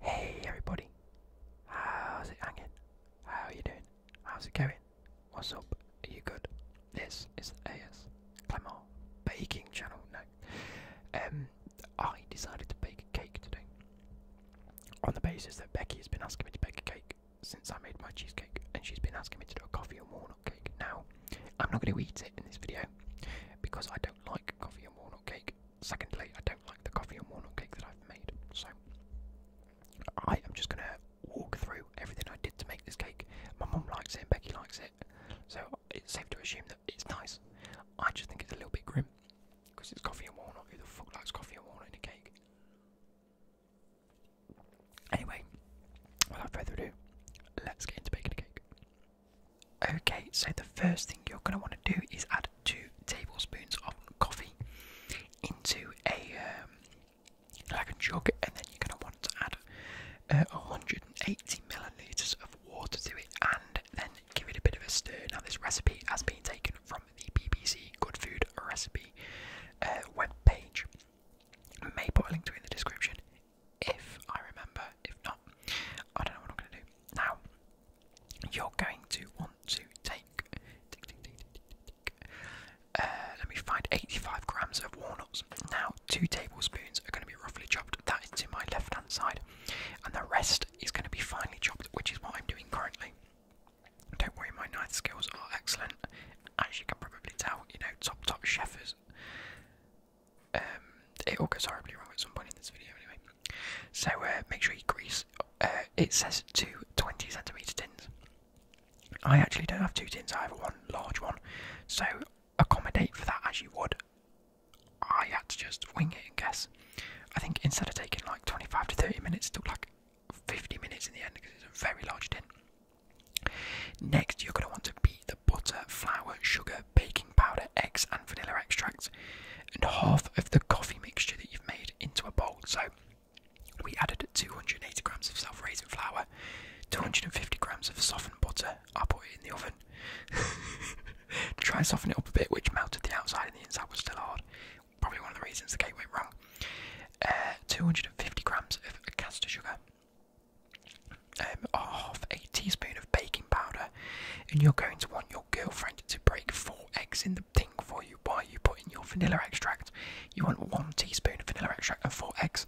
Hey everybody, how's it hanging? How are you doing? How's it going? What's up? Are you good? This is the AS Clement baking channel. No, um, I decided to bake a cake today on the basis that Becky has been asking me to bake a cake since I made my cheesecake, and she's been asking me to do a coffee and walnut cake. Now, I'm not going to eat it in this video because I don't like coffee and walnut cake. Secondly, I don't like the coffee and walnut cake that I've made, so I am just going to walk through everything I did to make this cake. My mum likes it and Becky likes it, so it's safe to assume that it's nice. I just think it's a little bit grim because it's coffee and walnut. Who the fuck likes coffee and walnut in a cake? Anyway, without further ado, let's get into baking a cake. Okay, so the first thing you're going to want to do is add two tablespoons of coffee into a um, like a jug, and then you're going to want to add uh, 180 milliliters of water to it, and then give it a bit of a stir. Now, this recipe has been taken from the BBC Good Food Recipe uh, web page. I may put a link to it in the description if I remember. If not, I don't know what I'm going to do. Now, you're going to want to take. Uh, let me find 85 grams of walnuts. Now, two tablespoons are going to be roughly chopped. That is to my left hand side, and the rest is going to be finely chopped, which is what I'm doing currently. Don't worry, my knife skills are excellent, as you can probably tell. You know, top top chefs. Um, it all goes horribly wrong at some point in this video, anyway. So uh, make sure you grease. Uh, it says two 20 centimeter tins. I actually don't have two tins. I have one large one. So accommodate for that as you would. I had to just wing it and guess. I think instead of taking like 25 to 30 minutes, it took like 50 minutes in the end because it's a very large tin. Next, you're going to want to beat the butter, flour, sugar, baking powder, eggs, and vanilla extract, and half of the coffee mixture that you've made into a bowl. So we added 280 grams of self raising flour, 250 grams of softened butter. I put it in the oven to try and soften it up a bit, which melted the outside and the inside was still hard. Probably one of the reasons the cake went wrong. Uh, 250 grams of caster sugar, um, half a teaspoon of baking powder, and you're going to want your girlfriend to break four eggs in the thing for you while you put in your vanilla extract. You want one teaspoon of vanilla extract and four eggs.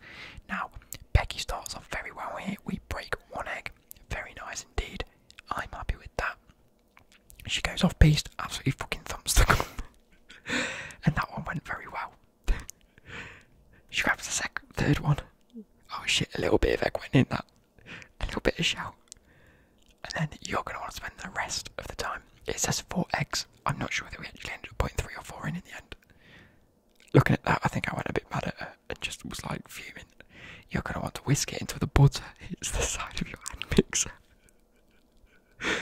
Now, Becky starts off very well here. We break one egg, very nice indeed. I'm happy with that. She goes off beast, absolutely fucking thumbs the cup. and that one went very well. she grabs the second, third one, Oh shit, a little bit of egg went in that. A little bit of shell. And then you're going to want to spend the rest of the time. It says four eggs. I'm not sure whether we actually ended up putting three or four in in the end. Looking at that, I think I went a bit mad at her and just was like fuming. You're going to want to whisk it into the butter. It's the side of your hand mixer.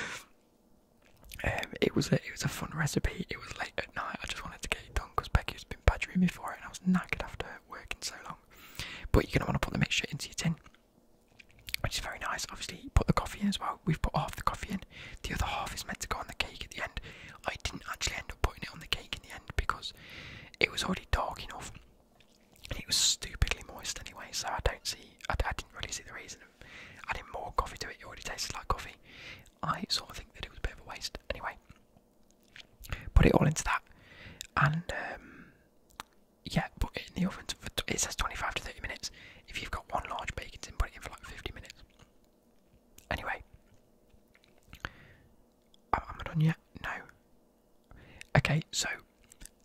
Um, it was a it was a fun recipe. It was late at night. I just wanted to get it done because Becky was a been badgering me and I was knackered after working so long. But you're gonna want to put the mixture into your tin, which is very nice. Obviously, put the coffee in as well. We've put half the coffee in. The other half is meant to go on the cake at the end. I didn't actually end up putting it on the cake in the end because it was already dark enough, it was stupidly moist anyway. So I don't see. I, I didn't really see the reason of adding more coffee to it. It already tasted like coffee. I sort of think that it was a bit of a waste. Anyway, Put it all into that, and um, yeah, put it in the oven. For it says 25 to 30 minutes. If you've got one large bacon tin, put it in for like 50 minutes. Anyway, i am not done yet? No. Okay, so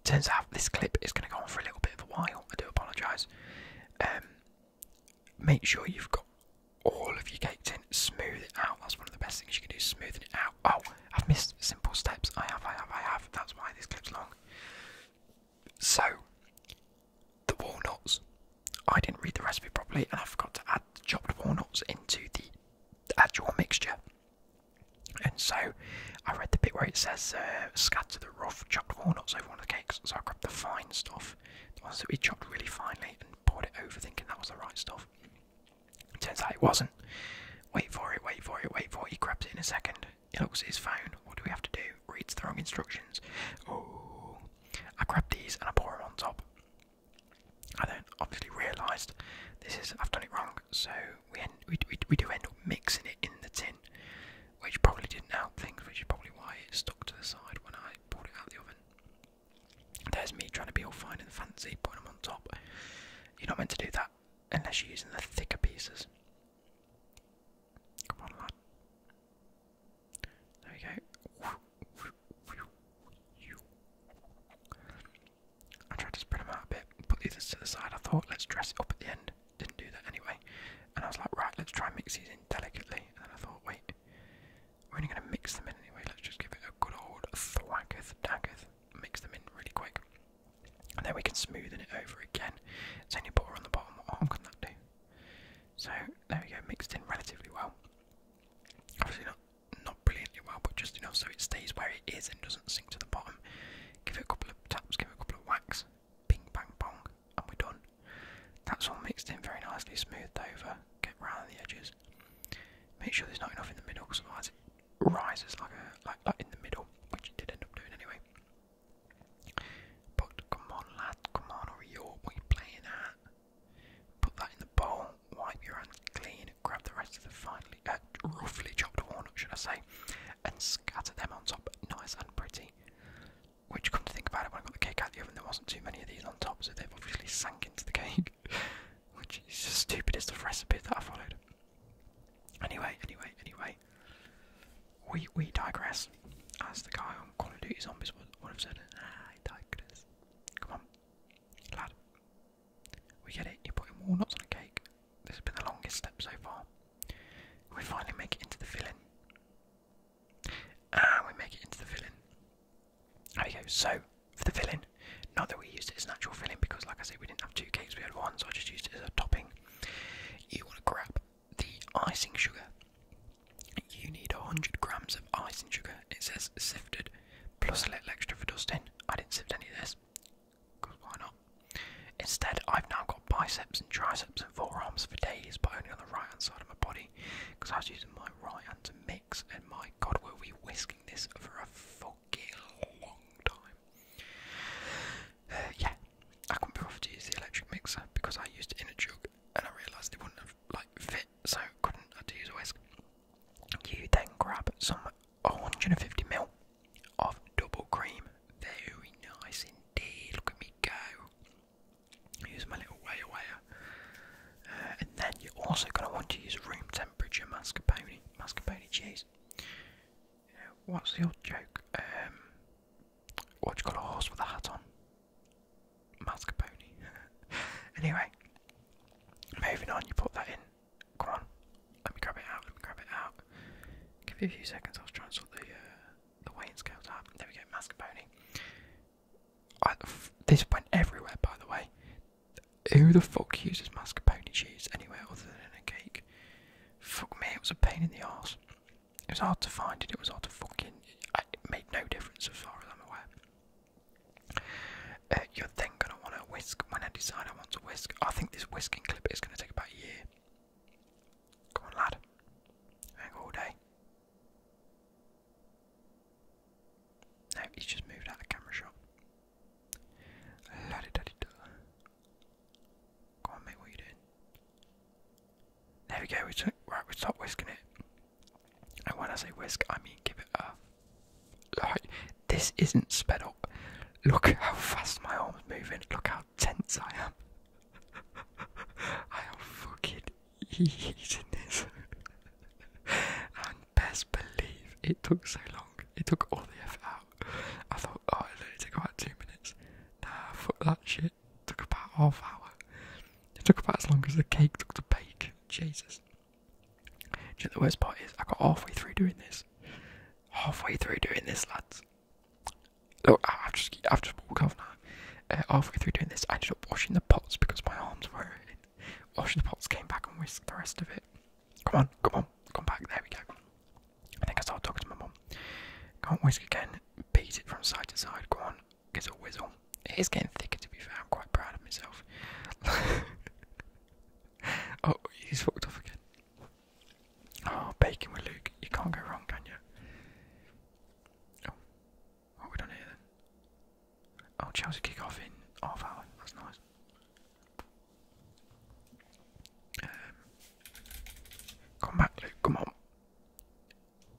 turns out this clip is going to go on for a little bit of a while. I do apologise. Um, make sure you've got all of your cakes in. Smooth it out. That's one of the best things you can do. Smoothing it out. Oh, I've missed simple steps. I have, I have, I have. That's why this clip's long. So, the walnuts. I didn't read the recipe properly, and I forgot to add chopped walnuts into the actual mixture. And so, I read the bit where it says uh, scatter the rough chopped walnuts over one of the cakes. So I grabbed the fine stuff, the ones that we chopped really finely, and poured it over thinking that was the right stuff. Turns out it wasn't. Wait for it, wait for it, wait for it. He grabs it in a second. He looks at his phone. What do we have to do? Reads the wrong instructions. Oh, I grab these and I pour them on top. I then obviously realised this is I've done it wrong, so we, end, we, we do end up mixing it in the tin, which probably didn't help things, which is probably why it stuck to the side when I poured it out of the oven. There's me trying to be all fine and fancy, putting them on top. You're not meant to do that unless you're using the thicker pieces. Come on, lad. There we go. I tried to spread them out a bit, put these to the side. I thought, let's dress it up at the end. Didn't do that anyway. And I was like, right, let's try and mix delicately. And I thought, wait, we're only going to mix them in anyway. Let's just give it a good old thwacketh daggeth. Mix them in really quick. And then we can smoothen it over again. It's only butter on the bottom. What can that do? So there we go, mixed in relatively well. Obviously not not brilliantly well, but just enough so it stays where it is and doesn't sink to the bottom. Give it a couple of taps, give it a couple of whacks, ping bang bong, and we're done. That's all mixed in very nicely, smoothed over, get round the edges. Make sure there's not enough in the middle, because otherwise it rises like a like, like in the middle, which it did end up doing anyway. But come on, lad, come on, or are you playing at? Put that in the bowl, wipe your hands clean, grab the rest of the finely, uh, roughly chopped walnut, should I say, and scatter them on top, nice and pretty. Which, come to think about it, when I got the cake out the oven, there wasn't too many of these on top, so they've obviously sank into the cake, which is the stupidest of recipes that I followed. Anyway, anyway, anyway, we we digress. As the guy on Call of Duty Zombies would, have said, ah, digress. Come on, lad, we get it. You're putting walnuts on a cake. This has been the longest step so far. We finally make it into the filling. And we make it into the villain. There we go. So, for the filling, not that we used it as an actual villain because, like I said, we didn't have two cakes, we had one, so I just used it as a topping. You want to grab the icing sugar. You need 100 grams of icing sugar. It says sifted, plus a little extra for dusting. I didn't sift any of this, why not? Instead, I've now got biceps and triceps and forearms for days, but only on the right hand side of my body because I was using my right hand to mix, and my god, were we whisking this for a fucking long time. Uh, yeah, I couldn't be bothered to use the electric mixer because I used it in a jug, and I realised it wouldn't have like fit, so couldn't I had to use a whisk. You then grab some 150 ml of double cream, very nice indeed. Look at me go. Use my little wire uh, and then you're also going to want to use room temperature mascarpone, mascarpone cheese. Uh, what's the old joke? Um, what you got a horse with a hat on? Mascarpone. anyway, moving on. You put that in. Come on, let me grab it out. Let me grab it out. Give you a few seconds. I was trying to sort the uh, the Wayne Scout out. There we go. Mascarpone this went everywhere, by the way. Who the fuck uses mascarpone cheese anywhere other than in a cake? Fuck me, it was a pain in the ass. It was hard to find it. It was hard to fucking. It made no difference as far as I'm aware. Uh, you're then gonna want to whisk. When I decide I want to whisk, I think this whisking clip is gonna take about a year. Come on, lad. Hang all day. No, he's just moved out of camera shot. Come on, mate, what you doing? There we go, we took, right, we stop whisking it. And when I say whisk, I mean give it a. Like, this isn't sped up. Look how fast my arm's moving, look how tense I am. I'm fucking eating this. and best believe it took so long. It took all the effort out. I thought, oh, it only took about two minutes. Nah, fuck that shit. took about half hour. It took about as long as the cake took to bake. Jesus. Do the worst part is I got halfway through doing this. Halfway through doing this, lads. Oh, ah, I've just, I've just walked off uh, halfway through doing this, I ended up washing the pots because my arms were hurting. Washing the pots, came back and whisked the rest of it. Come on, come on, come back. There we go. I think I started talking to my mum. Can't whisk again. Beat it from side to side. Go on, gives a whistle. It is getting thicker, to be fair. I'm quite proud of myself. oh, he's fucked off again. Oh, bacon with Luke. You can't go wrong, can you? Oh. What oh, we done here then? Oh, Chelsea kick off in half hour. That's nice. Um, come back, Luke. Come on.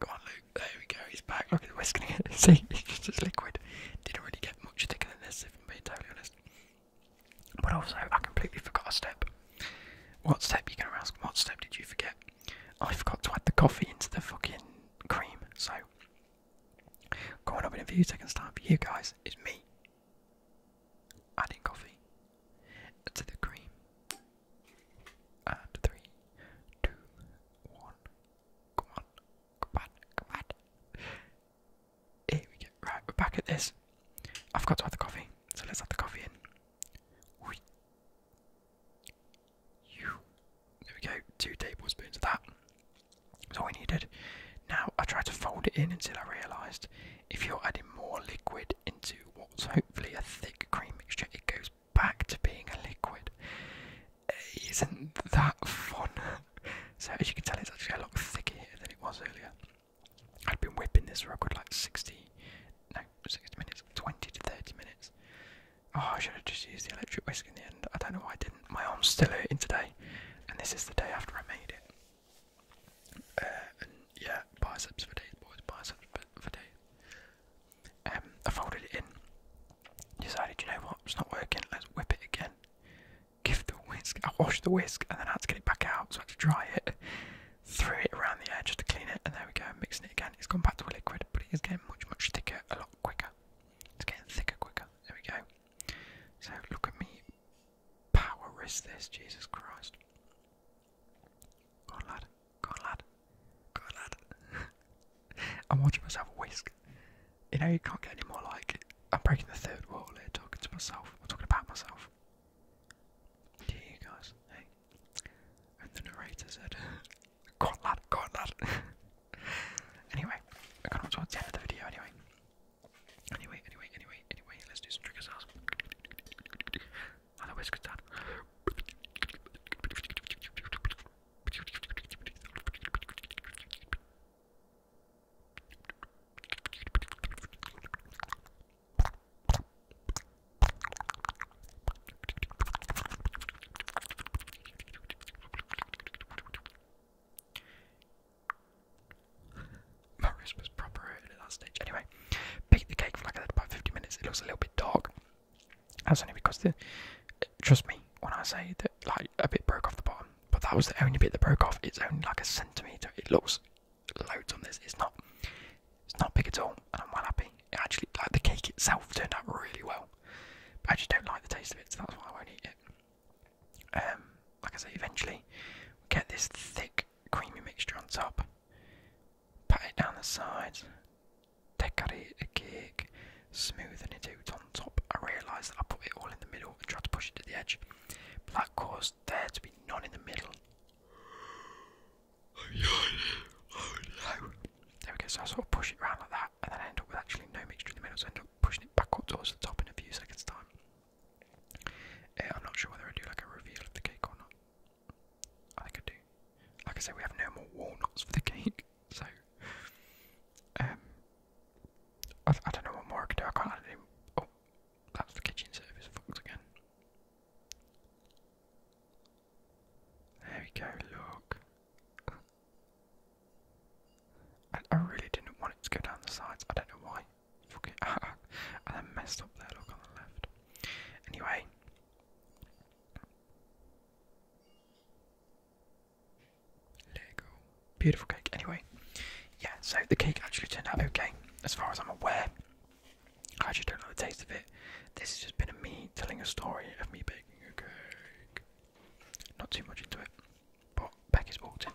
Come on, Luke. There we go. He's back. Look at the whisk. See, it's just liquid. Didn't really get much thicker than this, if I'm being totally honest. But also, I completely forgot a step. What step? You're going to ask, what step did you forget? I forgot to add the coffee into the fucking cream, so coming up in a few seconds time for you guys is me adding coffee to the cream. And three, two, one, come on, come on, come on. Here we go. Right, we're back at this. I've got to add the coffee, so let's add the coffee in. There we go, two tablespoons of that. That's all we needed. Now I tried to fold it in until I realised if you're adding more liquid into what's hopefully a thick cream mixture, it goes back to being a liquid. Isn't that fun? so as you can tell, it's actually a lot thicker than it was earlier. I'd been whipping this for a good like 60, no, 60 minutes, 20 to 30 minutes. Oh, I should have just used the electric whisk in the end. I don't know why I didn't. My arm's still hurting today, and this is the day after I made it. Uh, yeah, biceps for days, boys, biceps for days. Um, I folded it in. Decided, you know what, it's not working. Let's whip it again. Give the whisk. I washed the whisk, and then I had to get it back out, so I had to dry it threw it around the edge to clean it, and there we go, mixing it again. It's gone back to a liquid, but it is getting much, much thicker, a lot quicker. It's getting thicker quicker. There we go. So look at me power this, Jesus Christ. Go on, lad. Go on, lad. Go on, lad. I'm watching myself whisk. You know, you can't get any more like it. I'm breaking the third wall here, talking to myself. I'm talking about myself. To you guys. Hey, and the narrator said, Got that, got that. anyway, I got up towards the end of the video anyway. Anyway, anyway, anyway, anyway, let's do some triggers now. And the whiskers down. Marius was proper at that Anyway, bake the cake for like about 50 minutes. It looks a little bit dark. That's only because the. Trust me when I say that, like a bit broke off the bottom, but that was the only bit that broke off. It's only like a centimeter. It looks loads on this. It's not, it's not big at all, and I'm well happy. It actually, like the cake itself, turned out really well. But I just don't like the taste of it, so that's why I won't eat it. Um, like I say, eventually get this thick, creamy mixture on top. Pat it down the sides. Decorate the cake, smoothing it out on top. I realised that I put it all in the middle and tried to push it to the edge, but that caused there to be none in the middle there we go, so I sort of push it around like that, and then I end up with actually no mixture in the middle, so I end up pushing it back towards the top in a few seconds' time. Uh, I'm not sure whether I do like a reveal of the cake or not. I think I do. Like I said, we have no more walnuts for the cake, so um, I, don't know what more I can do. I can't add Oh, that's the kitchen service. Fucked again. There we go, look. I really didn't want it to go down the sides, I don't know why. Fuck it. and I messed up there, look on the left. Anyway. Lego. Beautiful cake. Anyway, yeah, so the cake actually turned out okay, as far as I'm aware. I actually don't know the taste of it. This has just been a me telling a story of me baking a cake. Not too much into it, but back is walked in.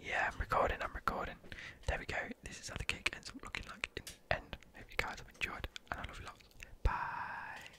Yeah, I'm recording, I'm recording. There we go. This is how the cake ends up looking like in the end. Hope you guys have enjoyed, and I love you lots. Bye.